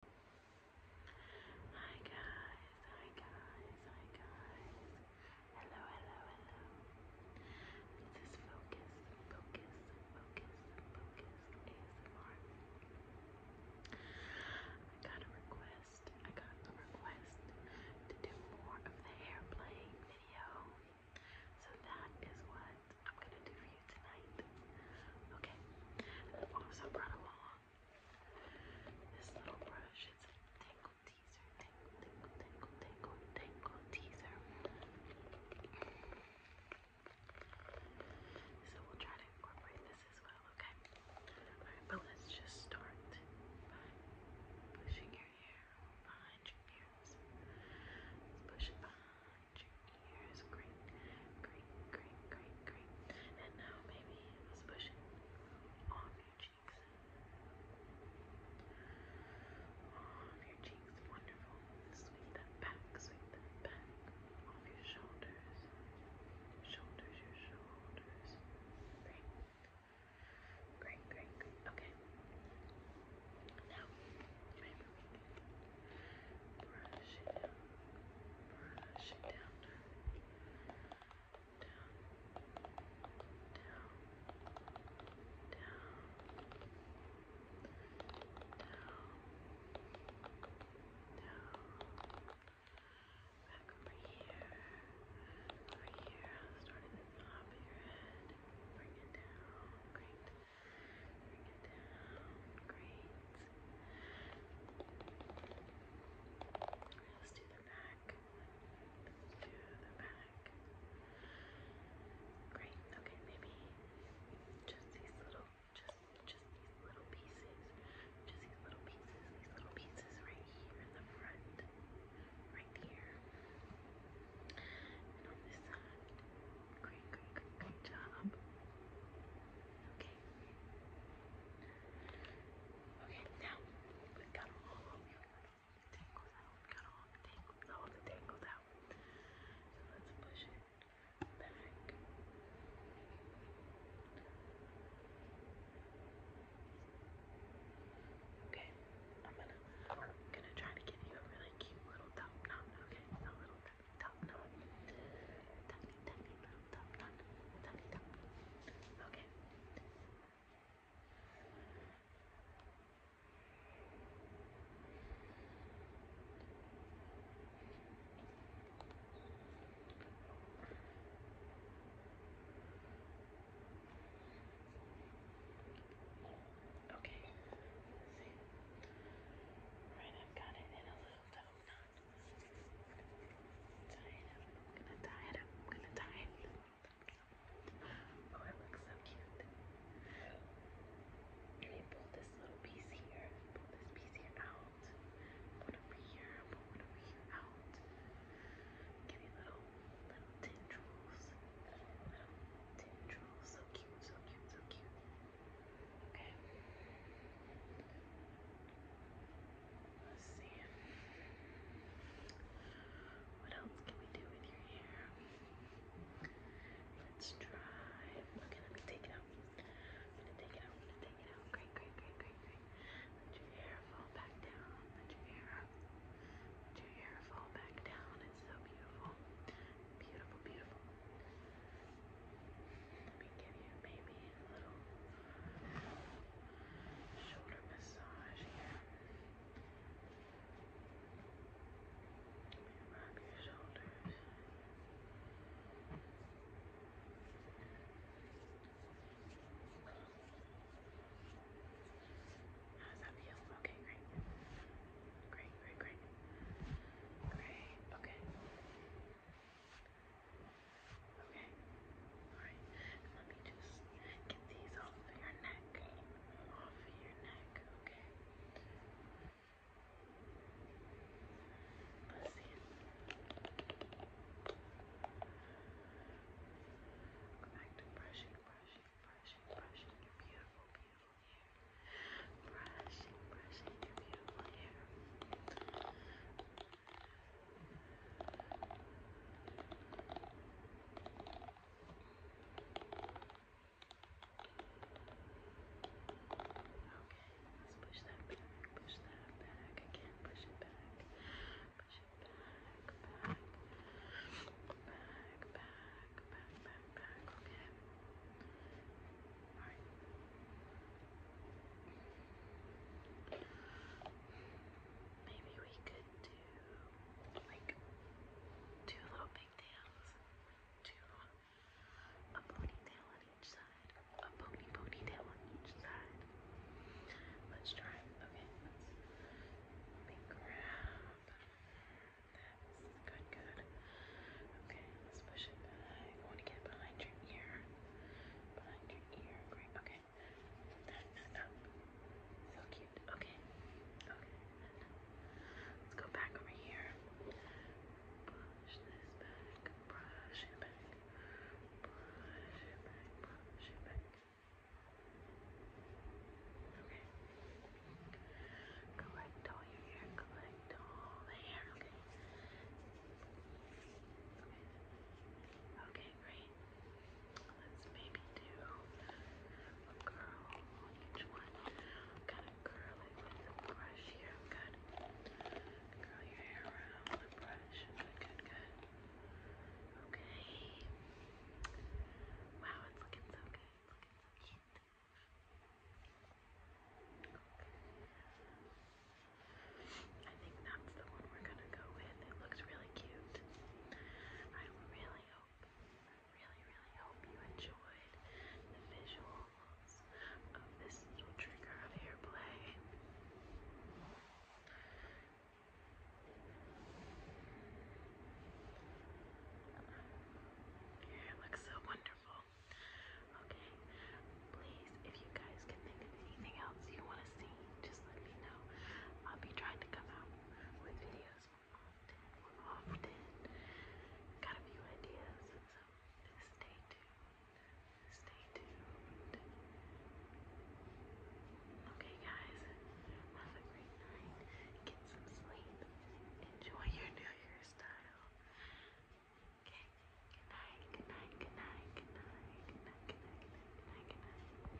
Hi guys, hi guys, hi guys. Hello, hello, hello. This is Focus, Focus, Focus, Focus ASMR. I got a request, I got a request to do more of the hair video. So that is what I'm gonna do for you tonight. Okay, i uh, also brought along this little brush. It's a tangle teaser, tangle, tangle, tangle, tangle, tangle teaser. So we'll try to incorporate this as well, okay? but let's just start pushing your hair behind your ears. Let's push it behind your Great, great, great, great, great. And now maybe let's push it off your cheeks. Off your cheeks, wonderful. Sweep that back, sweep that back. Off your shoulders. Shoulders, your shoulders. Great. Great, great, great. Okay. Now, Maybe we Brush it down. Brush it down. Down. Down. Down. Down. Back over here. Over here. Starting at the top of your head. Bring it down. Great. Bring it down. Great. Let's do the back. do the back. Great. Okay, maybe just these little, just, just these little pieces. Just these little pieces. These little pieces right here in the front right here. And on this side. Great, great, great, great job. Okay. Okay, now we got all of the got all the tangles, all the tangles out. So let's Push it back. Okay, I'm gonna gonna try to give you a really cute little top knot. Okay, a little top knot, tiny tiny little top knot, tiny top. Okay. Okay. Right, I've got it in a little dope knot. Tie it up. gonna tie it up. gonna tie it. Oh, it looks so cute. And you pull this little piece here, pull this piece here out, pull over here, pull over here out. Give you little, little tendrils. Little tendrils. So cute, so cute, so cute. Okay. Let's see. What else can we do with your hair? Let's try. Okay, let me take it out. gonna take it out. gonna take it out. great, great, great, great. Let your hair fall back down. Let your hair, let your hair fall back down. It's so beautiful. Beautiful, beautiful. Let me give you maybe a little shoulder massage here. Rub your shoulders. Rub How's that feel? Okay, great. Great, great, great. Great, okay. Okay. Alright. Let me just get these off of your neck. Off of your neck, Okay. Let's see. Go back to brushing, brushing, brushing, brushing your beautiful, beautiful hair. Brushing, brushing your beautiful hair. Okay. Let's push that back, push that back again, push it back, push it back, back, back, back, back, back, back, okay. Alright. Maybe we could do like two little pigtails. Two long a ponytail on each side, a pony ponytail on each side. Let's try. Okay, let's let me grab. That's good, good. Okay, let's push it back. want to get behind your ear. Behind your ear. Great. Okay. That's up. So cute. Okay. Okay. Let's go back over here. Push this back, brush it back, brush it back, brush it back. Okay. Collect all your hair, collect all the hair, okay. Okay, great. Let's maybe do a curl on each one. Kind of curl it with a brush here. Good. Curl your hair around with brush. Good, good, good. Okay. Wow, it's looking so good. It's looking so cute. I think that's the one we're gonna go with. It looks really cute. I really hope, really, really hope you enjoyed the visuals of this little trigger of hair play. Your looks so wonderful. Okay, please, if you guys can think of anything else you want to see, just let me know. I'll be trying to come out with videos often. Got a few ideas, so stay tuned. Stay tuned. Okay, guys, have a great night. Get some sleep. Enjoy your New Year's style. Okay, good night, good night, good night, good night, good night, good night, good night. Good night.